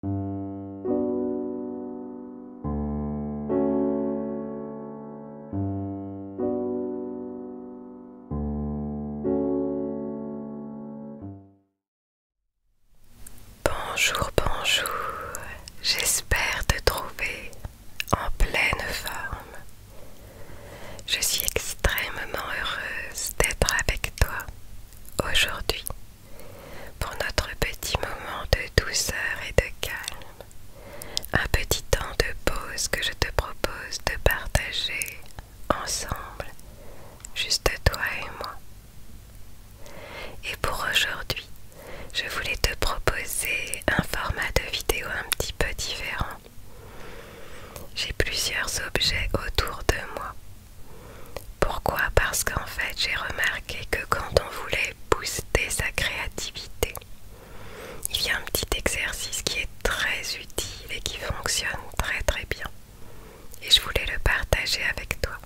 Bonjour, bonjour, j'espère te trouver en pleine forme. Je suis extrêmement heureuse d'être avec toi aujourd'hui pour notre petit moment de douceur et de calme, un petit temps de pause que je te propose de partager ensemble, juste toi et moi. Et pour aujourd'hui, je voulais te proposer un format de vidéo un petit peu différent. J'ai plusieurs objets autour de moi pourquoi Parce qu'en fait j'ai remarqué que quand on voulait booster sa créativité, il y a un petit exercice qui est très utile et qui fonctionne très très bien. Et je voulais le partager avec toi.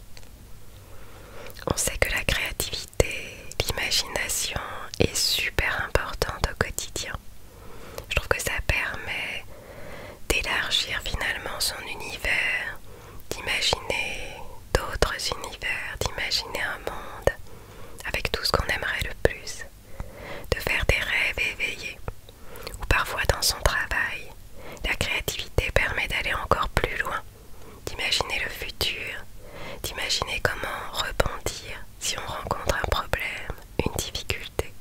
On sait que la créativité, l'imagination est super importante au quotidien. Je trouve que ça permet d'élargir finalement son univers, d'imaginer d'autres univers, d'imaginer un monde avec tout ce qu'on aimerait le plus, de faire des rêves éveillés, ou parfois dans son travail, la créativité permet d'aller encore plus loin, d'imaginer le futur, d'imaginer comment rebondir si on rencontre un problème, une difficulté,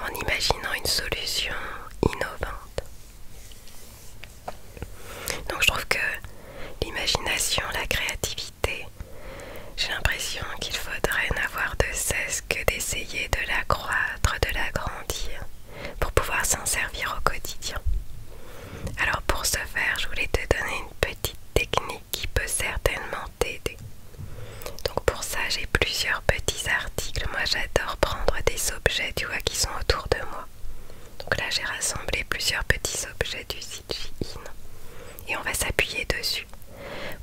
en imaginant une solution innovante. Donc je trouve que l'imagination, la créativité, j'ai l'impression qu'il faudrait n'avoir de cesse que d'essayer de la l'accroître, de l'agrandir, pour pouvoir s'en servir au quotidien. Alors pour ce faire, je voulais te donner une petite technique qui peut certainement t'aider. Donc pour ça, j'ai plusieurs petits articles. Moi, j'adore prendre des objets, tu vois, qui sont autour de moi donc là j'ai rassemblé plusieurs petits objets du site et on va s'appuyer dessus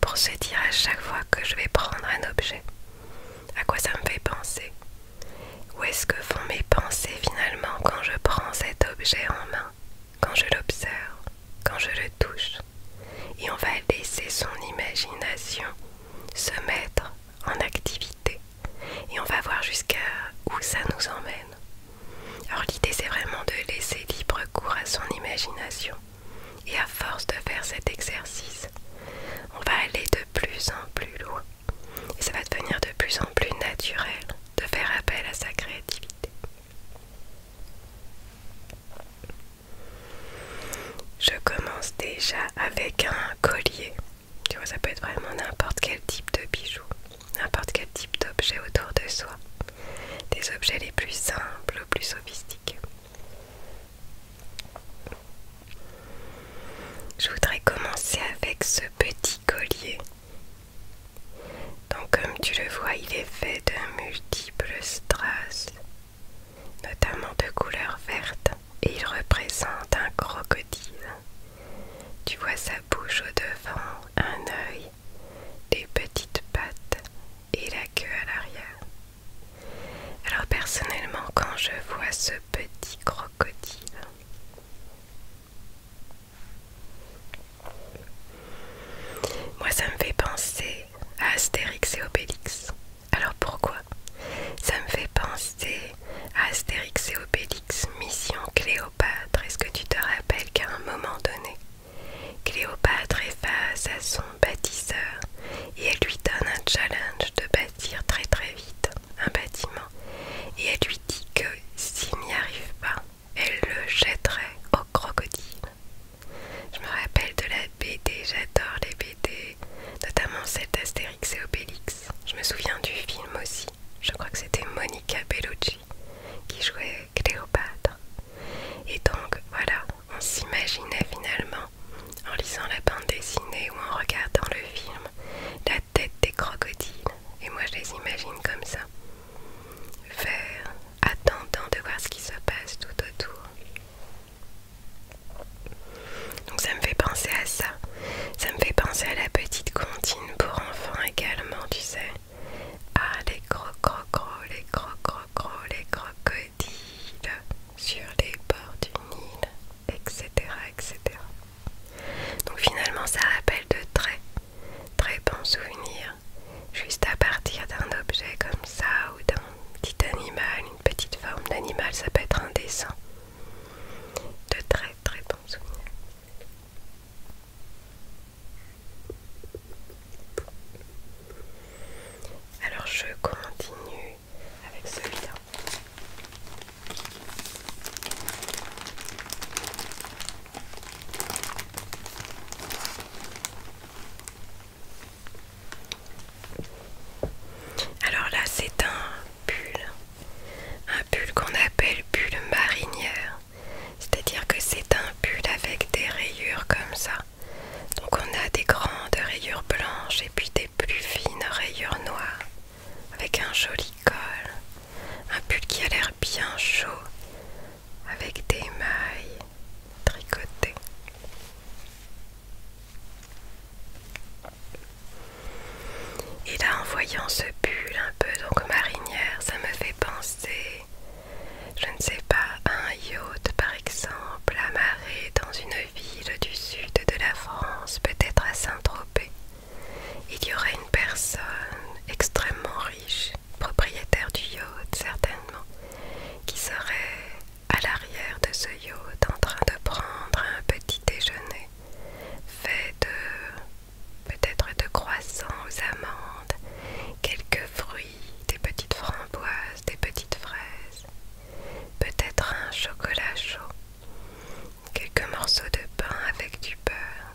pour se dire à chaque fois que je vais prendre un objet à quoi ça me fait penser. Où est-ce que font mes pensées finalement quand je prends cet objet en main, quand je l'observe, quand je le touche Et on va laisser son imagination se mettre en activité et on va voir jusqu'à où ça nous emmène. Alors l'idée c'est vraiment de laisser libre cours à son imagination et à force de faire cet exercice, on va aller de plus en plus loin et ça va devenir de plus en plus naturel de faire appel à sa créativité. Je commence déjà avec un collier tu vois, ça peut être vraiment n'importe quel type de bijoux, n'importe quel type d'objet autour de soi. Des objets les plus simples, plus sophistiqués. Je voudrais commencer avec ce petit collier. Donc comme tu le vois, il est fait de multiples strass, notamment de couleur verte. Il représente un crocodile. Tu vois sa bouche au devant, un œil, des petites pattes et la queue à l'arrière. Alors personnellement, quand je vois ce petit crocodile, moi ça me fait penser à Astérix et Obélix. Alors pourquoi Ça me fait penser à Astérix et Obélix, mission Cléopâtre. Est-ce que tu te rappelles qu'à un moment donné, Cléopâtre est face à son bâtisseur et elle lui donne un challenge de bâtir très très vite un bâtiment. Et elle lui dit que s'il n'y arrive pas, elle le jetterait au crocodile. Je me rappelle de la BD, j'adore les BD, notamment celle d'Astérix et Obélix. Je me souviens du film aussi. Je crois que c'était Monica Bellucci qui jouait Cléopâtre. Et donc voilà, on s'imaginait finalement, en lisant la bande dessinée ou en regardant le film, la tête des crocodiles. Et moi je les imagine comme ça. Vert, attendant de voir ce qui se passe tout autour. Donc ça me fait penser à ça. Ça me fait penser à la petite comptine pour enfants également, tu sais. Ah, les cro-cro-cro, les cro-cro-cro, les crocodiles sur les bords d'une île, etc., etc. Donc finalement, ça rappelle de très, très bons souvenirs. Juste à partir d'un objet comme ça ou d'un petit animal, une petite forme d'animal, ça peut être un dessin de très très bons souvenirs. Alors je continue avec celui-là. Alors là, c'est un pull un pull qu'on appelle pull marinière, c'est-à-dire que c'est un pull avec des rayures comme ça. Donc on a des grandes rayures blanches et puis des plus fines rayures noires avec un joli col. Un pull qui a l'air bien chaud avec des mailles tricotées. Et là, en voyant ce pull un peu donc marinière, ça me fait penser, je ne sais pas, à un yacht par exemple, amarré dans une ville du sud de la France, peut-être à Saint-Tropez. Il y aurait une personne extrêmement riche, propriétaire du yacht certainement, qui serait à l'arrière de ce yacht en train de prendre un petit déjeuner fait de peut-être de croissants aux amandes, quelques fruits, des petites framboises, des petites fraises, peut-être un chocolat chaud, quelques morceaux de pain avec du beurre,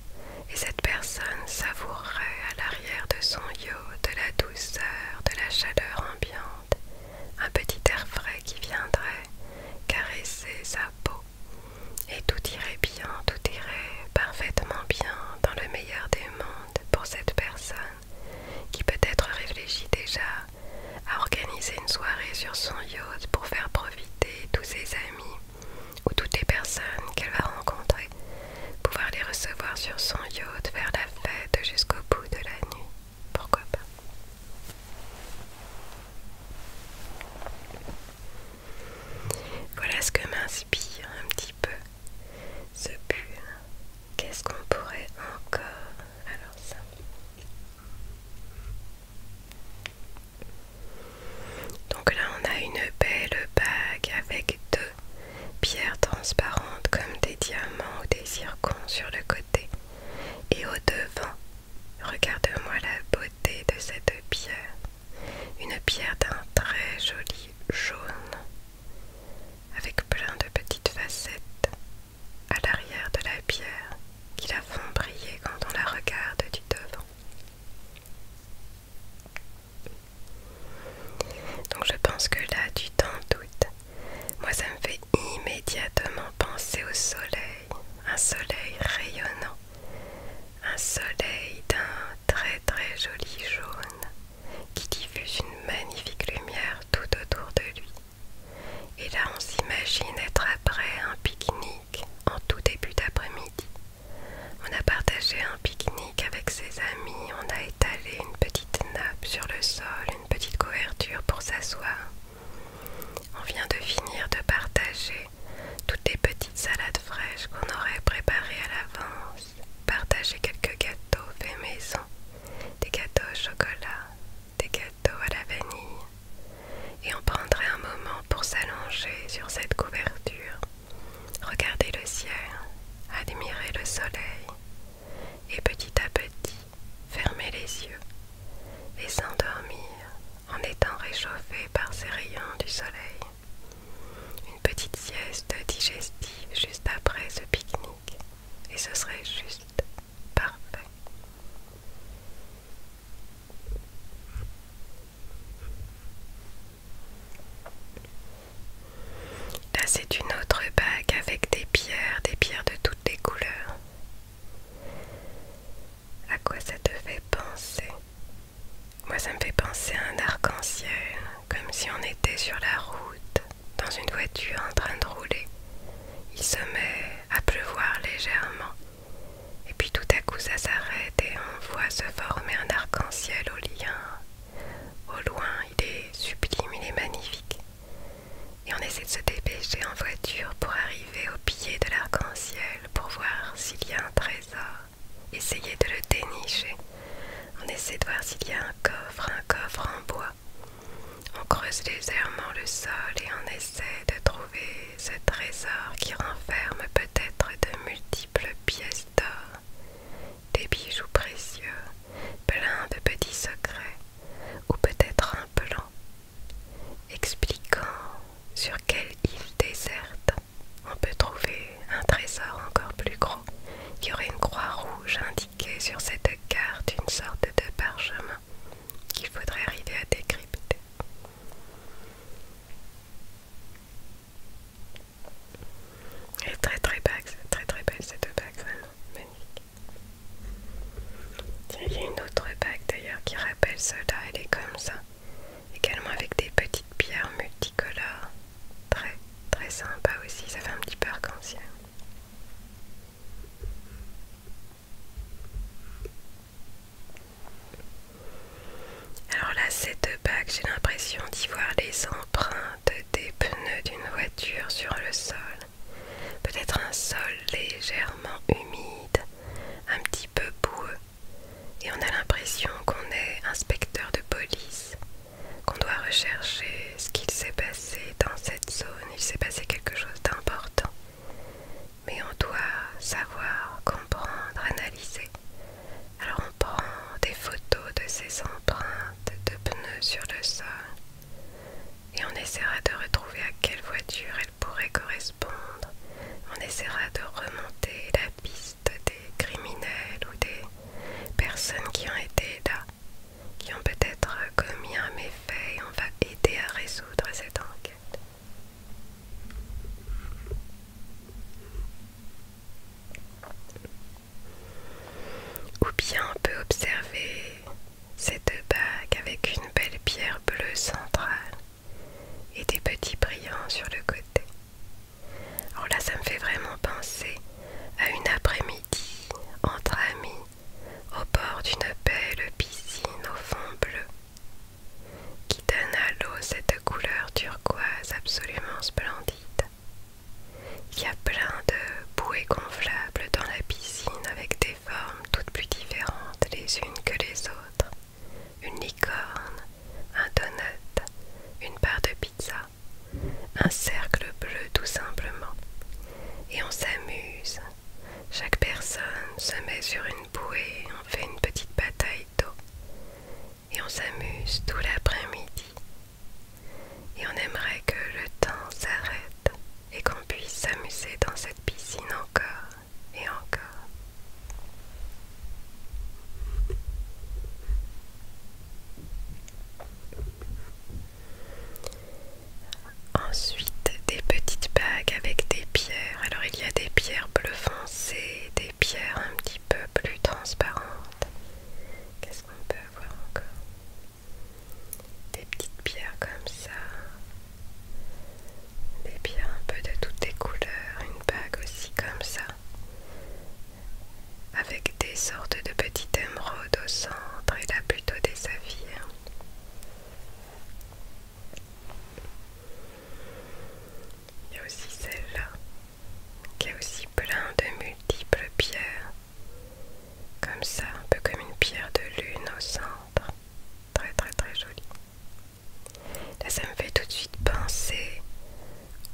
et cette personne savourerait à l'arrière de son yacht de la douceur, de la chaleur ambiante, un petit air frais qui viendrait caresser sa peau et tout irait bien, tout irait parfaitement bien dans le meilleur des mondes pour cette personne qui peut-être réfléchit déjà à organiser une soirée sur son yacht pour faire profiter tous ses amis ou toutes les personnes qu'elle va rencontrer, pouvoir les recevoir sur son yacht, Vers la fête jusqu'au bout de la nuit. Pourquoi pas Voilà ce que m'inspire un petit peu ce pull. Qu'est-ce qu'on pourrait encore Alors ça. Donc là on a une belle bague avec deux pierres transparentes comme des diamants ou des circons, sur le côté et au devant Regarde-moi la beauté de cette pierre, une pierre d'un très joli jaune, avec plein de petites facettes à l'arrière de la pierre qui la font briller quand on la regarde du devant. Donc je pense que là, tu t'en doutes. Moi, ça me fait immédiatement penser au soleil un soleil rayonnant, un soleil d'un très très joli jaune qui diffuse une magnifique lumière tout autour de lui. Et là on s'imagine être après un pique-nique en tout début d'après-midi. On a partagé un pique-nique avec ses amis, on a étalé une petite nappe sur le sol, une petite couverture pour s'asseoir. On vient de finir de partager toutes les petites salades fraîches qu'on aurait préparées à l'avance, partager quelques gâteaux faits maison, des gâteaux au chocolat, des gâteaux à la vanille, et on prendrait un moment pour s'allonger sur cette couverture, regarder le ciel, admirer le soleil, et petit à petit fermer les yeux et s'endormir en étant réchauffé par ces rayons du soleil. Une petite sieste digestive juste après ce pique-nique et ce serait juste parfait. Là c'est une autre bague avec des pierres, des pierres de toutes les couleurs à quoi ça te fait penser. Moi, ça me fait penser à un arc-en-ciel, comme si on était sur la route, dans une voiture en train de rouler. Il se met à pleuvoir légèrement, et puis tout à coup ça s'arrête et on voit se former un arc-en-ciel au lien. Au loin, il est sublime, il est magnifique. Et on essaie de se dépêcher en voiture pour arriver au pied de l'arc-en-ciel pour voir s'il y a un trésor. Essayez de le dénicher. On essaie de voir s'il y a un coffre, un coffre en bois. On creuse légèrement le sol et on essaie de trouver ce trésor qui renferme peut-être de multiples pièces d'or, des bijoux précieux, plein de petits secrets, ou peut-être un plan, expliquant sur quelle île déserte on peut trouver un trésor encore plus gros. qui aurait une croix rouge indiquée sur cette carte, une sorte de parchemin qu'il faudrait arriver à décrypter. Elle très très très très belle cette bague, vraiment magnifique il y a une autre bague d'ailleurs qui rappelle cela, elle est comme ça. Également avec des petites pierres multicolores. Très très sympa aussi, ça fait un petit peu arc-en-ciel. Alors là, cette bague, j'ai l'impression d'y voir les empreintes des pneus d'une voiture sur le sol. Peut-être un sol légèrement humide un petit peu boueux, et on a l'impression qu'on est inspecteur de police, qu'on doit rechercher ce qu'il s'est passé dans cette zone, il s'est passé quelque chose d'important. Mais on doit savoir, comprendre, analyser. Alors on prend des photos de ces empreintes de pneus sur le sol et on essaiera de retrouver à quelle voiture pourrait correspondre. On essaiera de remonter la piste des criminels ou des personnes qui ont été là, qui ont peut-être commis un méfait et on va aider à résoudre cette enquête. Ou bien on peut observer cette bague avec une belle pierre bleue centrale et des petits brillants sur le côté. Alors là, ça me fait vraiment penser à une après-midi entre amis au bord d'une belle piscine au fond bleu qui donne à l'eau cette couleur turquoise absolument splendide. Il y a plein de bouées gonflables dans la piscine avec des formes toutes plus différentes les unes que les autres une licorne, un donut, une part de pizza, un cercle bleu tout simplement. Et on s'amuse. Chaque personne se met sur une bouée, on fait une petite bataille d'eau. Et on s'amuse tout l'après-midi. Et on aimerait que le temps s'arrête et qu'on puisse s'amuser dans cette piscine encore et encore. Ensuite, des petites bagues avec des pierres. Alors, il y a des pierres bleu foncé, des pierres un petit peu plus transparentes. Qu'est-ce qu'on peut avoir encore Des petites pierres comme ça, des pierres un peu de toutes les couleurs, une bague aussi comme ça, avec des sortes de petites émeraudes au centre et là plutôt des saphirs. Il y a aussi celle-là, qui est aussi plein de multiples pierres, comme ça, un peu comme une pierre de lune au centre. Très très très jolie. Là, ça me fait tout de suite penser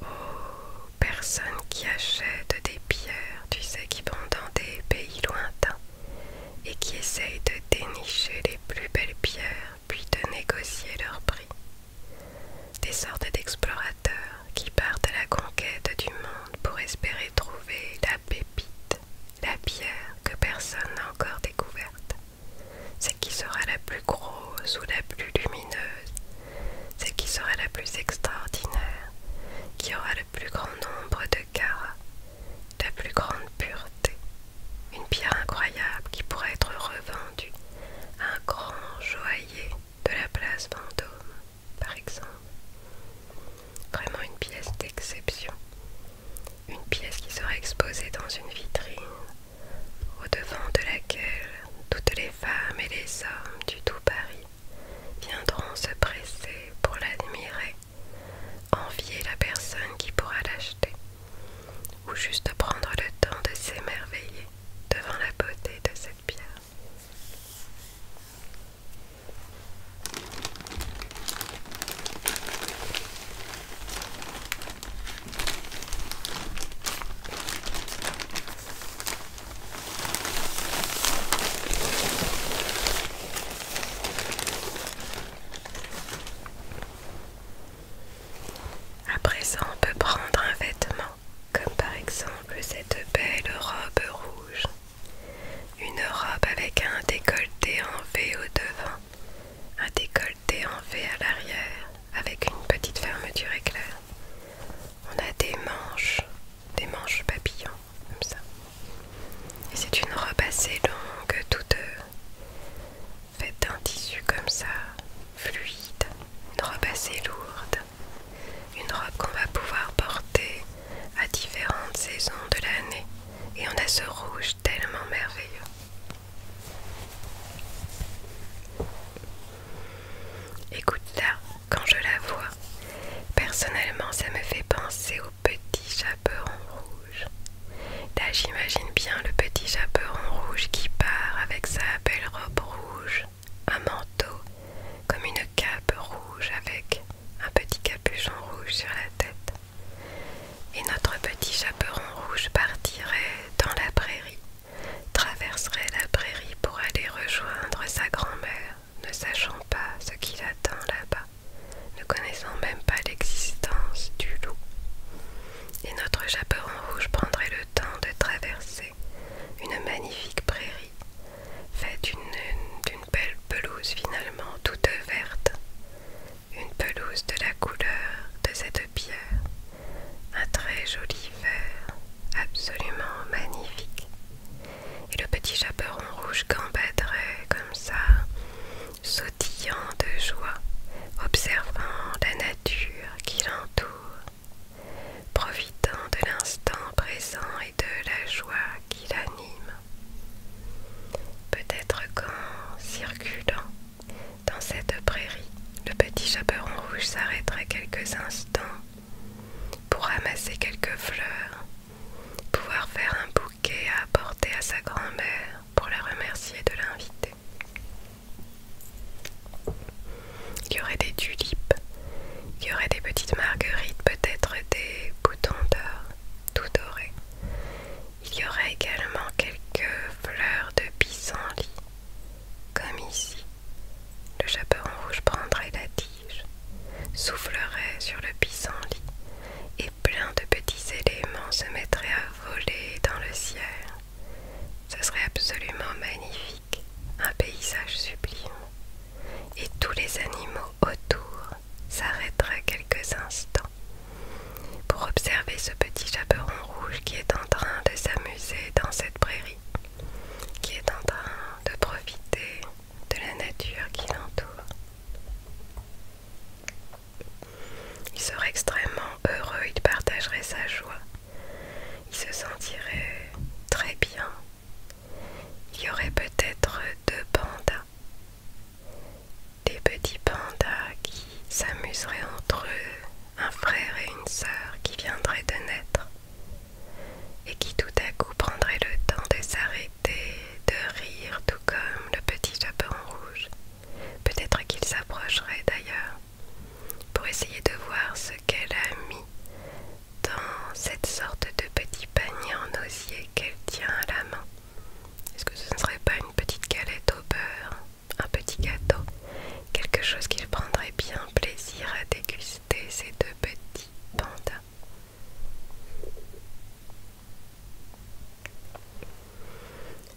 aux personnes qui achètent des pierres, tu sais, qui vont dans des pays lointains et qui essayent de dénicher les plus belles pierres, puis de négocier leur prix. Des sortes d'explorateurs qui partent à la conquête du monde pour espérer trouver la pépite, la pierre que personne n'a encore découverte. C'est qui sera la plus grosse ou la plus lumineuse, celle qui sera la plus extraordinaire, qui aura le plus grand nombre de carats, la plus grande pureté, une pierre incroyable qui pourrait être revendue à un grand joaillier de la place Vendôme, par exemple. Vraiment une pièce d'exception une pièce qui sera exposée dans une vitrine, au-devant de laquelle toutes les femmes et les hommes du tout Paris viendront se presser pour l'admirer, envier la personne qui pourra l'acheter, ou juste prendre le temps de s'émerveiller devant la beauté de cette pierre. À présent, on peut prendre un vêtement, comme par exemple cette belle robe rouge. Une robe avec un décolleté en V au devant un décolleté en V à l'arrière avec une petite fermeture éclair. On a des manches, des manches papillons, comme ça. Et c'est une robe assez longue, toute euh, faite d'un tissu comme ça, fluide, une robe assez lourde, une robe qu'on va pouvoir porter à différentes saisons de l'année. Et on a ce rouge tellement merveilleux écoute là, quand je la vois, personnellement ça me fait penser au petit chaperon rouge. Là j'imagine bien le petit chaperon rouge qui part avec sa belle robe rouge, un manteau, comme une cape rouge avec un petit capuchon rouge sur la tête. Et notre petit chaperon rouge partirait dans la prairie, traverserait la prairie pour aller rejoindre sa grand-mère, ne sachant pas ce qu'il attend là-bas, ne connaissant même pas l'existence du loup. Et notre chaperon rouge prendrait le temps de traverser une magnifique prairie, faite d'une belle pelouse finalement toute verte, une pelouse de la couleur de cette pierre, un très joli vert, absolument magnifique. Et le petit chaperon rouge gambadrait comme ça, sautillant de joie, observant la nature qui l'entoure, profitant de l'instant présent et de la joie qui l'anime. Peut-être qu'en circulant dans cette prairie, le petit chaperon rouge s'arrêterait quelques instants pour ramasser quelques fleurs, pouvoir faire un bouquet à apporter à sa grand-mère pour la remercier de l'inviter. Il y aurait des tulipes, il y aurait des petites marguerites, peut-être des boutons d'or tout dorés. Il y aurait également quelques fleurs de pissenlit, comme ici. Le chaperon rouge prendrait la tige, soufflerait sur le pissenlit, et plein de petits éléments se mettraient à voler dans le ciel. Ce serait absolument magnifique, un paysage sublime. Et tous les animaux autour s'arrêteraient quelques instants pour observer ce petit chaperon rouge qui est en train de s'amuser dans cette prairie, qui est en train de profiter de la nature qui l'entoure. Il serait extrêmement heureux, il partagerait sa joie, il se sentirait très bien. Il y aurait peut-être deux pandas des petits pandas qui s'amuseraient entre eux, un frère et une sœur qui viendraient de naître et qui tout à coup prendraient le temps de s'arrêter, de rire, tout comme le petit japon rouge. Peut-être qu'ils s'approcheraient d'ailleurs pour essayer de voir ce qu'elle a mis dans cette sorte de petit panier en osier qu'elle tient à la main. Est-ce que ce ne serait pas une petite galette au beurre un petit gâteau, quelque chose qu'il prendrait bien plaisir à déguster, ces deux petits pandas.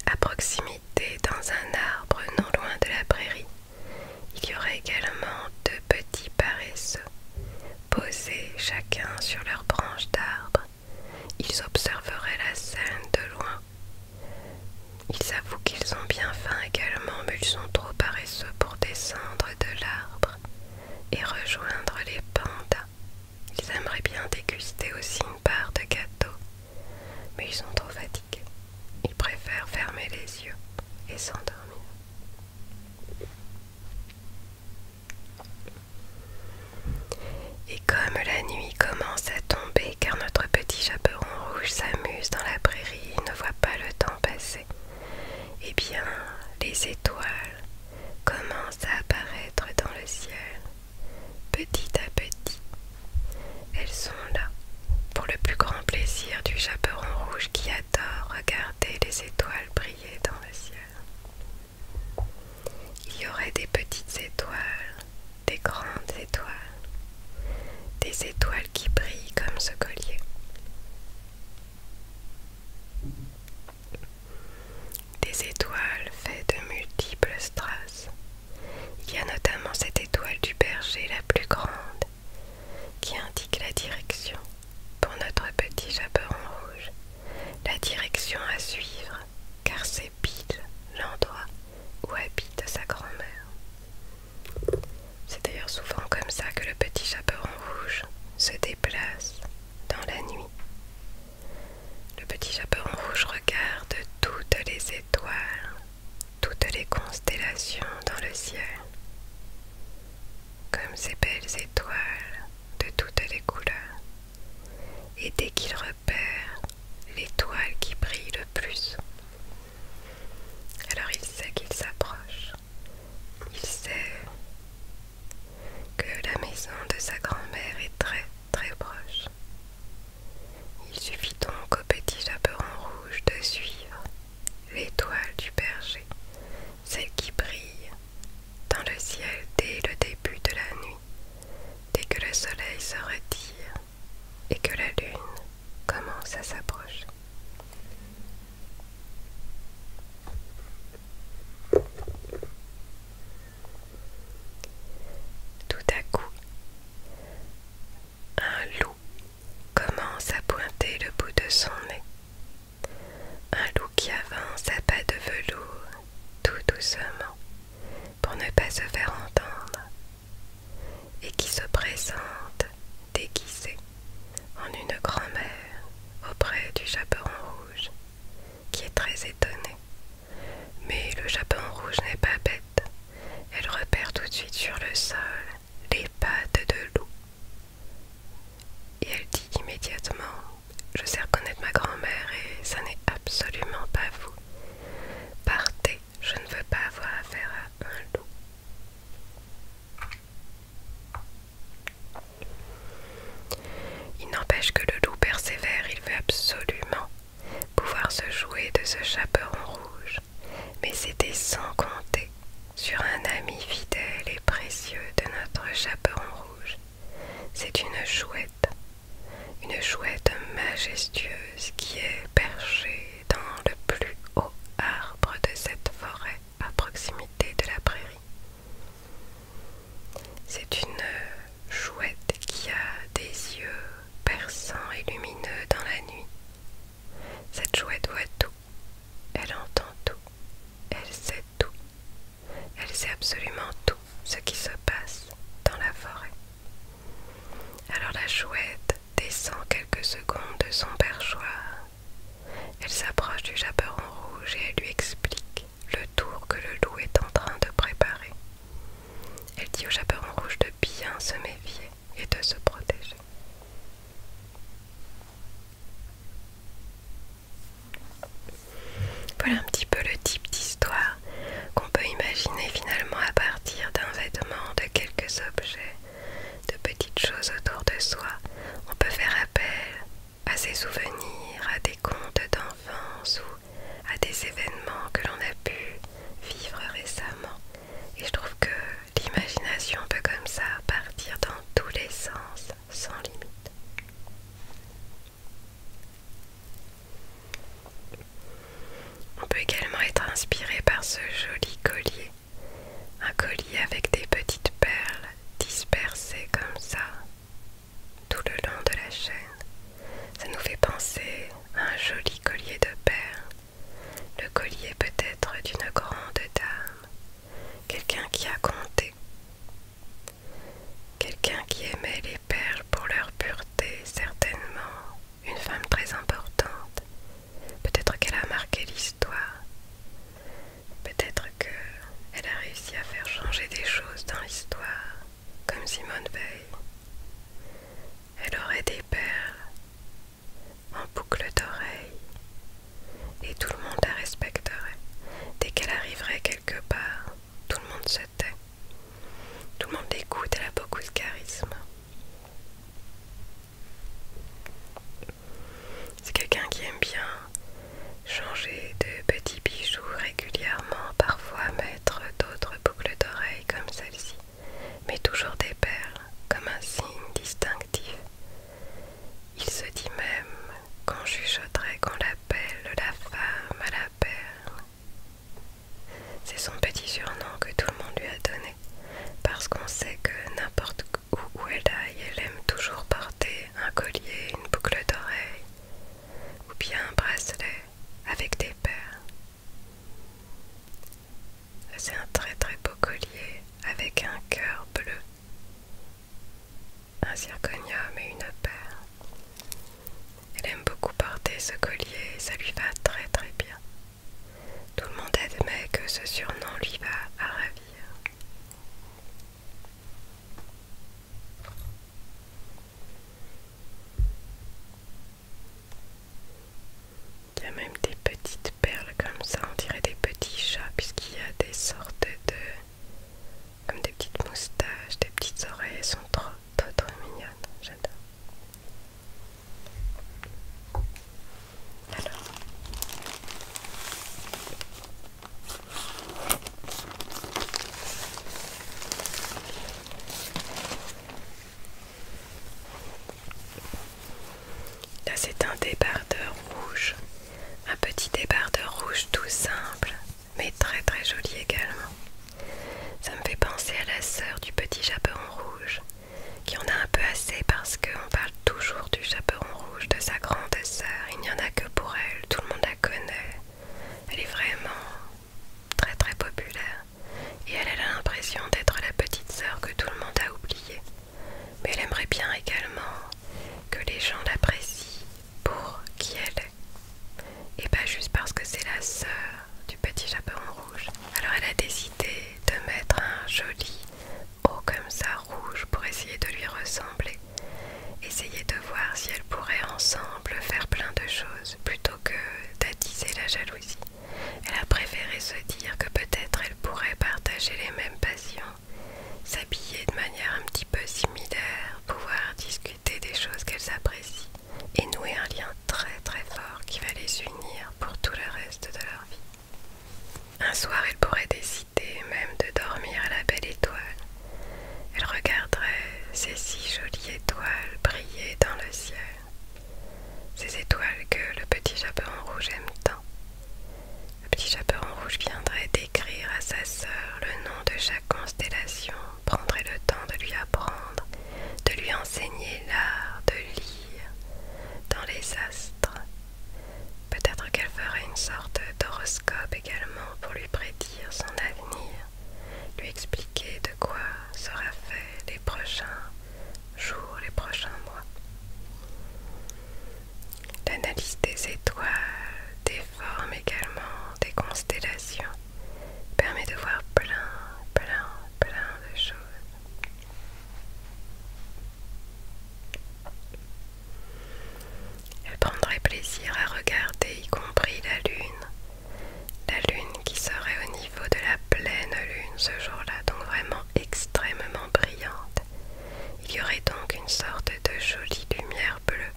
À proximité, dans un arbre non loin de la prairie, il y aurait également deux petits paresseux, posés chacun sur leur branche d'arbre, ils observeraient la scène de loin. Ils avouent qu'ils ont bien faim également, mais ils sont trop paresseux pour descendre de l'arbre et rejoindre les pandas. Ils aimeraient bien déguster aussi une part de gâteau, mais ils sont trop fatigués. Ils préfèrent fermer les yeux et s'endormir. Et comme la nuit commence à tomber car notre petit chaperon rouge s'amuse dans la prairie, et ne voit pas le temps passer, eh bien les étoiles commencent à apparaître dans le ciel. Petit à petit, elles sont là pour le plus grand plaisir du chaperon rouge qui adore regarder les étoiles briller dans le ciel. Il y aurait des petites étoiles, des grandes étoiles, des étoiles qui brillent comme ce collier. Des étoiles faites de multiples strass. Il y a notamment cette étoile du berger la plus grande qui indique la direction pour notre petit chaperon rouge, la direction à suivre car c'est l'endroit où habite sa grand-mère. C'est d'ailleurs souvent comme ça que le petit chaperon rouge se déplace dans la nuit. Le petit chaperon rouge regarde toutes les étoiles, toutes les constellations dans le ciel. Comme ces belles étoiles de toutes les couleurs. Et dès qu'il Père, l'étoile qui brille le plus. Alors il sait qu'il s'approche. Il sait que la maison de sa grand-mère est très très proche. Il suffit donc au petit chaperon rouge de suivre l'étoile du berger, celle qui brille dans le ciel dès le début de la nuit dès que le soleil se retire et que la lune commence à s'approcher. Tout à coup, un loup commence à pointer le bout de son nez. Un loup qui avance à pas de velours, tout doucement, pour ne pas se faire entendre, et qui se présente déguisée en une grand-mère auprès du chaperon rouge, qui est très étonnée. Mais le chaperon rouge n'est pas bête, elle repère tout de suite sur le sol les pattes de loup. Et elle dit immédiatement, je sais reconnaître ma grand-mère et ça n'est absolument pas vous. Partez, je ne veux pas avoir affaire à un loup. Il n'empêche que le loup persévère, il veut absolument pouvoir se jouer de ce chaperon rouge, mais c'était sans compter sur un ami fidèle et précieux de notre chaperon rouge. C'est une chouette une chouette majestueuse qui est perchée dans le plus haut arbre de cette forêt à proximité de la prairie. C'est une chouette qui a des yeux perçants et lumineux dans la nuit. Cette chouette voit tout, elle entend tout, elle sait tout, elle sait absolument tout ce qui se passe dans la forêt. Alors la chouette descend quelques secondes de son perchoir. Elle s'approche du chaperon rouge et elle lui explique le tour que le loup est en train de préparer. Elle dit au chaperon rouge de bien se méfier et de se protéger. Voilà un petit peu le type d'histoire qu'on peut imaginer finalement à partir d'un vêtement, de quelques objets, de petites choses autour de soi. On peut faire appel à ses souvenirs, à des contes d'enfance ou à des événements que l'on a pu vivre récemment. Et je trouve que l'imagination peut comme ça partir dans tous les sens, sans limite. On peut également être inspiré par ce joli collier, un collier avec des petites perles dispersées comme ça tout le long de la chaîne. Ça nous fait penser à un joli collier de perles, le collier peut-être d'une grande dame, quelqu'un qui a compté, quelqu'un qui aimait les Perles pour leur pureté, certainement une femme très importante. Peut-être qu'elle a marqué l'histoire. Peut-être qu'elle a réussi à faire changer des choses dans l'histoire, comme Simone Veil. Elle aurait des perles en boucle d'oreille et tout le monde la respecterait. Dès qu'elle arriverait quelque part, tout le monde se tait. Tout le monde l'écoute, elle a beaucoup de charisme. C'est quelqu'un qui aime bien changer de petits bijoux régulièrement, parfois mettre d'autres boucles d'oreilles comme celle-ci, mais toujours des perles, comme un signe distinctif. Il se dit même qu'on chuchoterait qu'on l'appelle la femme à la perle. C'est son petit surnom que tout le monde lui a donné, parce qu'on sait que n'importe où, où elle aille, elle aime toujours porter un collier, une boucle d'oreille, ou bien un bracelet avec des perles. C'est un très très beau collier avec un cœur bleu, un zirconium et une perle. Elle aime beaucoup porter ce collier et ça lui va très très bien. Tout le monde admet que ce surnom lui va à ravir. Il y a même des petites perles comme ça, on dirait des petits chats puisqu'il y a des sortes de... comme des petites moustaches, des petites oreilles, elles sont trop trop trop mignonne, j'adore. Là c'est un débardeur rouge, un petit débardeur rouge tout simple, mais très très joli également. Ça me fait penser à la sœur du petit chaperon rouge, qui en a un peu assez parce qu'on parle toujours du chaperon rouge de sa grande sœur. Il n'y en a que pour elle, tout le monde la connaît. Elle est vraiment très très populaire et elle, a l'impression d'être la petite sœur que tout le monde a oubliée. Mais elle aimerait bien également que les gens l'apprécient pour qui elle est. Et pas juste parce que c'est la sœur du petit chaperon rouge. Alors elle a décidé de mettre un joli haut comme ça rouge pour essayer de lui ressembler. Essayer de voir si elles pourraient ensemble faire plein de choses plutôt que d'attiser la jalousie. Elle a préféré se dire que peut-être elle pourrait partager les mêmes passions, s'habiller de manière un petit peu similaire, pouvoir discuter des choses qu'elles apprécient et nouer un lien très très fort qui va les unir pour tout le reste de leur vie. Un soir, elle pourrait décider même de dormir à la belle étoile. Elle regarderait ces six jolies étoiles briller dans le ciel. Ces étoiles que le petit chaperon rouge aime tant. Le petit chaperon rouge viendrait d'écrire à sa sœur le nom de chaque constellation prendrait le temps de lui apprendre, de lui enseigner l'art de lire dans les astres. Peut-être qu'elle ferait une sorte d'horoscope également pour lui prédire son avenir, lui expliquer de quoi sera fait les prochains jours, les prochains mois. L'analyse des étoiles, des formes également, des constellations permet de voir plein, plein, plein de choses. Elle prendrait plaisir à regarder, y compris la lune. La lune qui serait au niveau de la pleine lune ce jour-là, donc vraiment extrêmement brillante. Il y aurait donc une sorte de jolie lumière bleue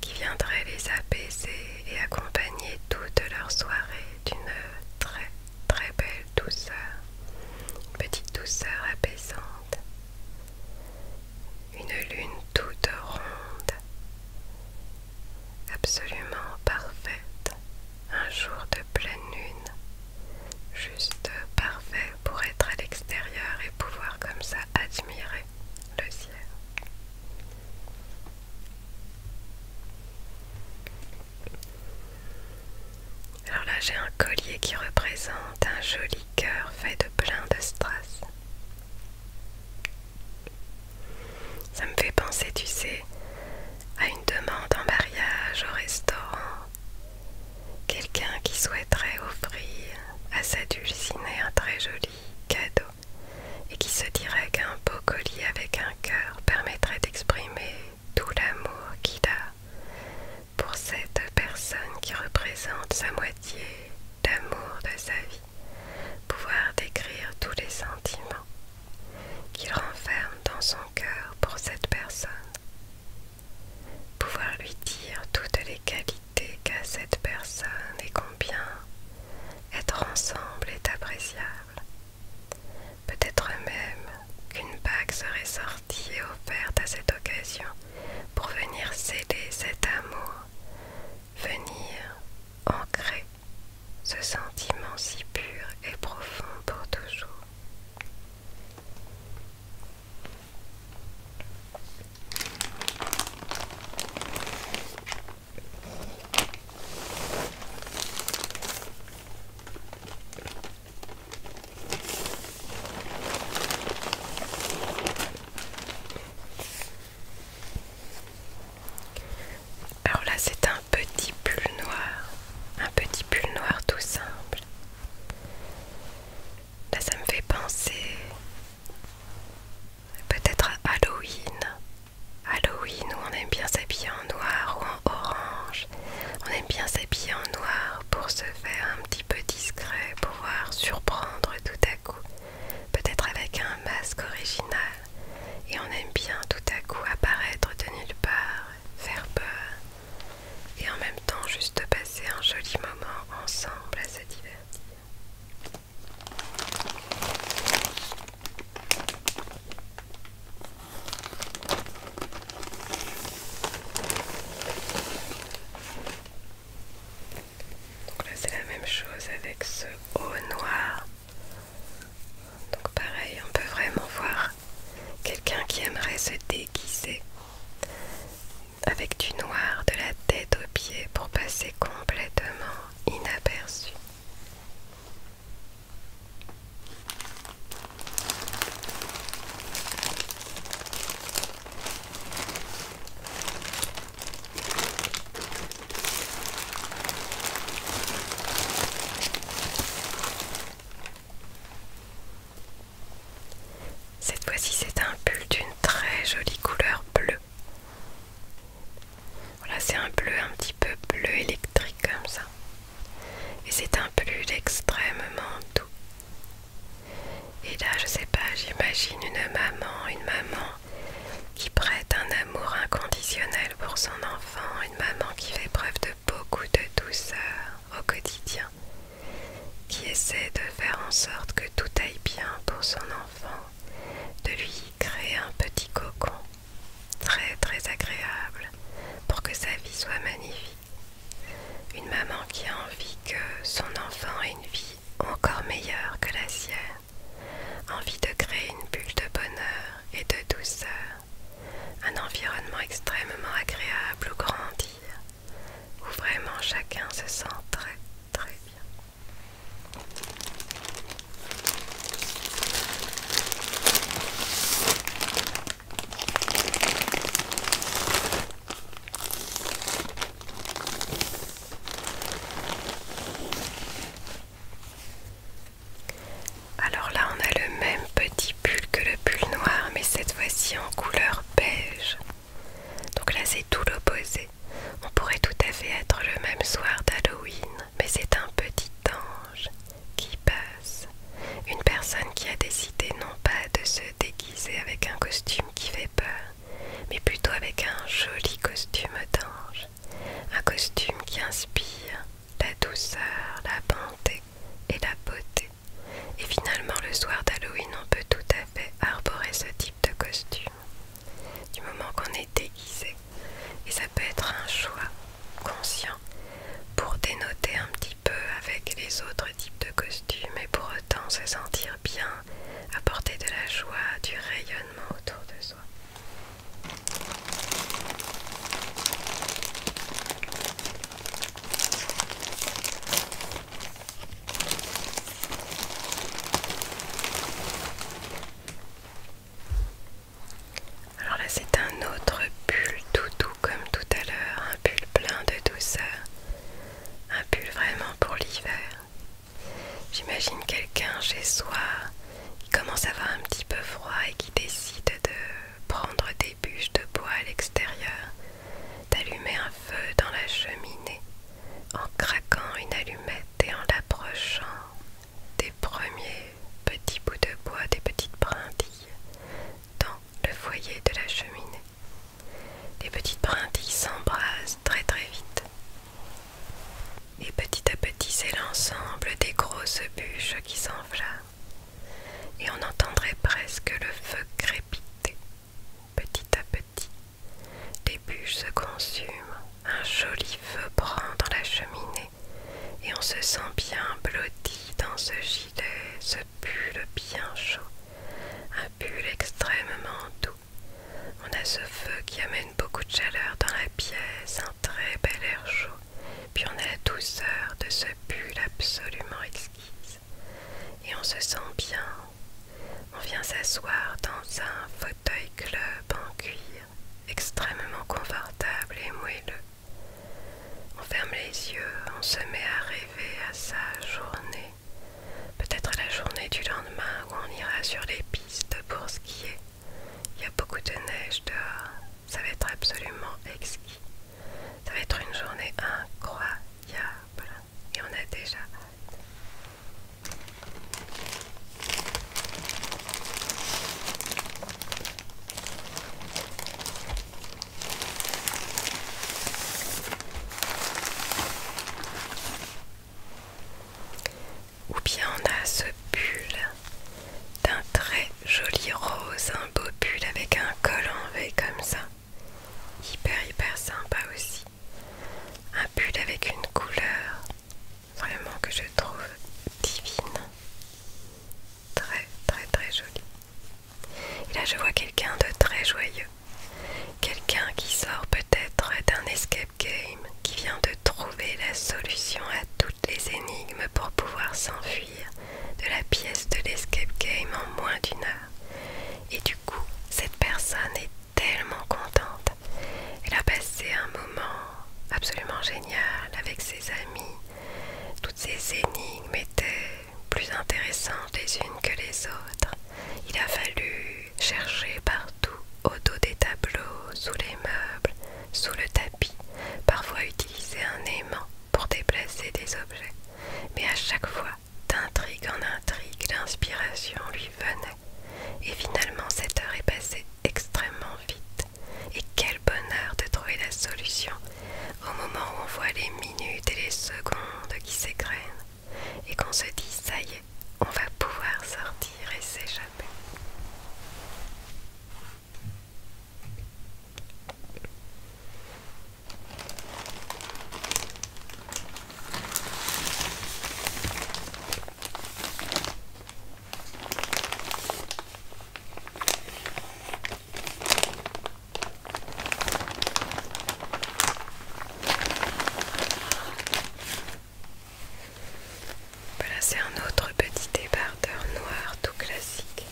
qui viendrait les apaiser et accompagner toute leur soirée d'une très très belle douceur, une petite douceur apaisante, une lune toute ronde, absolument parfaite, un jour de pleine lune, juste parfait pour être à l'extérieur et pouvoir comme ça admirer le ciel. Alors là, j'ai un collier qui représente un joli cœur fait de plein de strass. Ça me fait penser, tu sais, à une demande en mariage au restaurant. Quelqu'un qui souhaiterait offrir à sa dulcinée un très joli cadeau et qui se dirait qu'un beau collier avec un cœur permettrait d'exprimer tout l'amour qu'il a pour cette personne qui représente sa moitié, d'amour de sa vie, pouvoir décrire tous les sentiments qu'il renferme dans son cœur pour cette personne, pouvoir lui dire toutes les qualités qu'a cette personne et bien, être ensemble est appréciable. Peut-être même qu'une bague serait sortie et offerte à cette occasion pour venir céder cet amour, venir ancrer ce sentiment si pur et profond pour toujours. Alors là, c'est un petit pull noir, un petit pull noir tout simple. Là, ça me fait penser peut-être à Halloween. Halloween où on aime bien s'habiller en noir ou en orange. On aime bien s'habiller en noir pour se faire un petit peu discret, pouvoir surprendre tout à coup. Peut-être avec un masque original. Et on aime bien tout à coup apparaître de nulle part, faire peur. Et en même temps juste passer un joli moment ensemble à se divertir. Donc là c'est la même chose avec ce haut noir. Donc pareil, on peut vraiment voir quelqu'un qui aimerait se déguiser avec du noir de la tête aux pieds pour passer complètement inaperçu. Cette fois-ci, c'est un pull d'une très jolie couleur bleue. Voilà, c'est un bleu un petit peu bleu électrique comme ça. Et c'est un bleu extrêmement doux. Et là, je sais pas, j'imagine une maman, une maman qui prête un amour inconditionnel pour son enfant, une maman qui fait preuve de beaucoup de douceur au quotidien, qui essaie de faire en sorte que tout aille bien pour son enfant, de lui créer un petit cocon très très agréable pour que sa vie soit magnifique. Une maman qui a envie que son enfant ait une vie encore meilleure que la sienne, envie de créer une bulle de bonheur et de douceur, un environnement extrêmement agréable où grandir, où vraiment chacun se sent très très bien. Alors là, on a le même petit pull que le pull noir, mais cette fois-ci en couleur beige. Donc là, c'est tout l'opposé. On pourrait tout à fait être le même soir d'Halloween mais c'est un petit ange qui passe. Une personne qui a décidé non pas de se déguiser avec un costume qui fait peur, mais plutôt avec un joli costume d'ange. Un costume qui inspire la douceur, la bonté et la beauté. Et finalement, le soir d'Halloween, on peut tout à fait arborer ce type de costume. Du moment qu'on est déguisé, et ça peut être un choix conscient pour dénoter un petit peu avec les autres types de costumes et pour autant se sentir bien, apporter de la joie, du rayonnement autour de soi. Alors là c'est un autre pull tout doux comme tout à l'heure, un pull plein de douceur, un pull vraiment pour l'hiver. J'imagine quelqu'un chez soi qui commence à avoir un petit peu froid et qui décide de prendre des bûches de bois à l'extérieur, d'allumer un feu dans la cheminée en craquant une allumette et en l'approchant des premiers petits bouts de bois, des petites brindilles dans le foyer de la cheminée. Les petites brindilles s'embrasent très très vite. Et petit à petit, c'est l'ensemble des grosses bûches qui s'enflamment. Et on entendrait presque le feu crépiter. Petit à petit, les bûches se consument. Un joli feu prend dans la cheminée et on se sent bien blotti dans ce gilet, ce pull bien chaud, un pull extrêmement doux. On a ce feu qui amène beaucoup de chaleur dans la pièce, un très bel air chaud, puis on a la douceur de ce pull absolument exquise. Et on se sent bien. On vient s'asseoir dans un fauteuil club en cuir extrêmement confortable et moelleux. On ferme les yeux, on se met à rêver à sa journée, peut-être la journée du lendemain où on ira sur les pistes pour skier. Il y a beaucoup de neige dehors, ça va être absolument exquis. Ça va être une journée incroyable et on a déjà hâte. Ou bien on a ce pull d'un très joli rose, un beau pull avec un col en V comme ça. Hyper hyper sympa aussi. Un pull avec une couleur vraiment que je trouve divine, très très très jolie. Et là je vois quelqu'un de très joyeux, quelqu'un qui sort peut-être d'un escape game, qui vient de trouver la solution à toutes les énigmes pour pouvoir s'enfuir de la pièce de l'escape game en moins d'une heure. Et du coup, cette personne est tellement contente. Elle a passé un moment absolument génial avec ses amis. Toutes ces énigmes étaient plus intéressantes les unes que les autres. Il a fallu chercher partout, au dos des tableaux, sous les meubles, sous le tapis, parfois utiliser un aimant pour déplacer des objets. Mais à chaque fois, d'intrigue en intrigue, l'inspiration lui venait. Et finalement, cette heure est passée extrêmement vite. Et quel bonheur de trouver la solution au moment où on voit les minutes et les secondes qui s'égrènent et qu'on se dit ça y est, on va pouvoir sortir et s'échapper. Voilà, c'est un autre petit débardeur noir tout classique.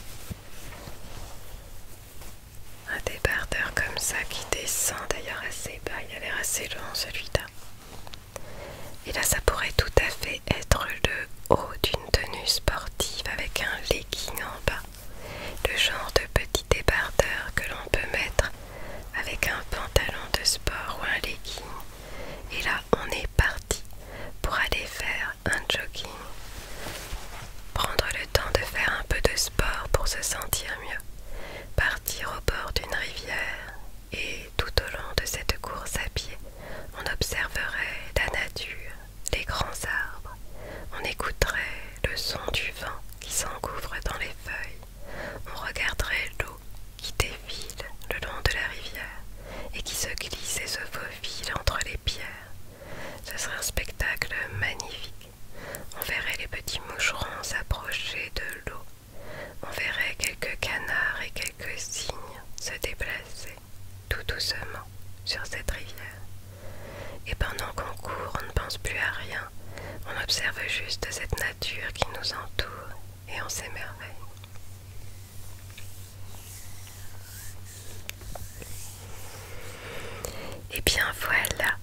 Un débardeur comme ça qui descend d'ailleurs assez bas, il a l'air assez long celui-là. Et là, ça pourrait tout à fait être le haut d'une tenue sportive avec un legging en bas, le genre de petit débardeur que l'on peut mettre avec un pantalon de sport ou un legging. Et là, on est parti pour aller faire un jogging. Prendre le temps de faire un peu de sport pour se sentir mieux. Partir au bord d'une rivière, et tout au long de cette course à pied, on observerait la nature, les grands arbres, on écouterait le son du vent qui s'engouffre dans les feuilles, on regarderait l'eau qui défile le long de la rivière et qui se glisse et se faufile entre les pierres. Ce serait un spectacle magnifique. On verrait les petits moucherons s'approcher de l'eau. On verrait quelques canards et quelques cygnes se déplacer tout doucement sur cette rivière. Et pendant qu'on court, on ne pense plus à rien, on observe juste cette nature qui nous entoure et on s'émerveille. Et bien voilà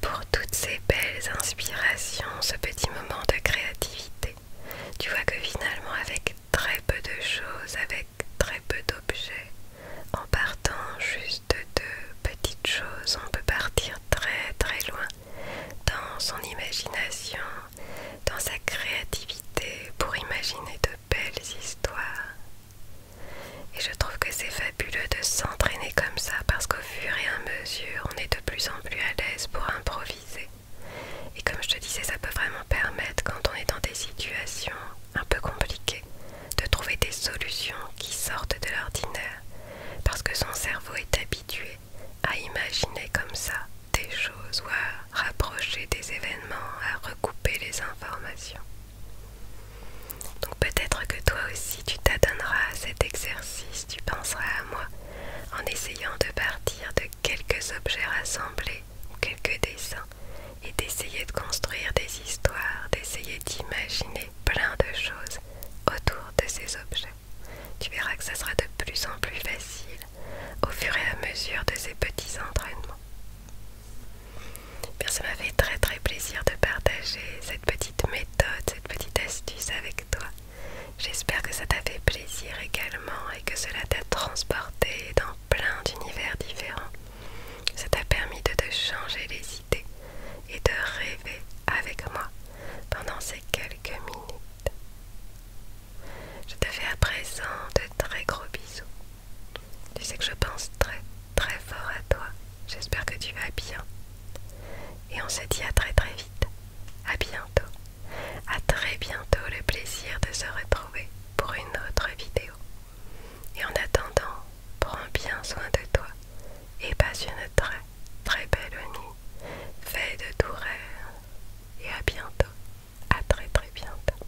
pour toutes ces belles inspirations, ce petit moment de créativité. Tu vois que finalement avec très peu de choses avec très peu d'objets. En partant juste de petites choses, on peut partir très très loin dans son imagination, dans sa créativité pour imaginer de belles histoires. Et je trouve que c'est fabuleux de s'entraîner comme ça parce qu'au fur et à mesure, on est de plus en plus à l'aise pour improviser. Et comme je te disais, ça peut vraiment permettre, quand on est dans des situations un peu compliquées, de trouver des solutions qui sortent de l'ordinaire, parce que son cerveau est habitué à imaginer comme ça des choses ou à rapprocher des événements, à recouper les informations. Donc peut-être que toi aussi tu t'adonneras à cet exercice, tu penseras à moi en essayant de partir de quelques objets rassemblés ou quelques dessins et d'essayer de construire des histoires, d'essayer d'imaginer plein de choses autour de ces objets. Tu verras que ça sera de plus en plus facile au fur et à mesure de ces petits entraînements. ça m'a fait très très plaisir de partager cette petite méthode, cette petite astuce avec toi. J'espère que ça t'a fait plaisir également et que cela t'a transporté dans plein d'univers différents. Ça t'a permis de te changer les idées et de rêver avec moi pendant ces quelques minutes. Je te fais à présent de très gros bisous. Tu sais que je pense très très fort à toi. J'espère que tu vas bien. Et on se dit à très très vite. À bientôt. À très bientôt le plaisir de se retrouver pour une autre vidéo. Et en attendant, prends bien soin de toi et passe une très très belle nuit. Fais de tout rêve et à bientôt. À très très bientôt.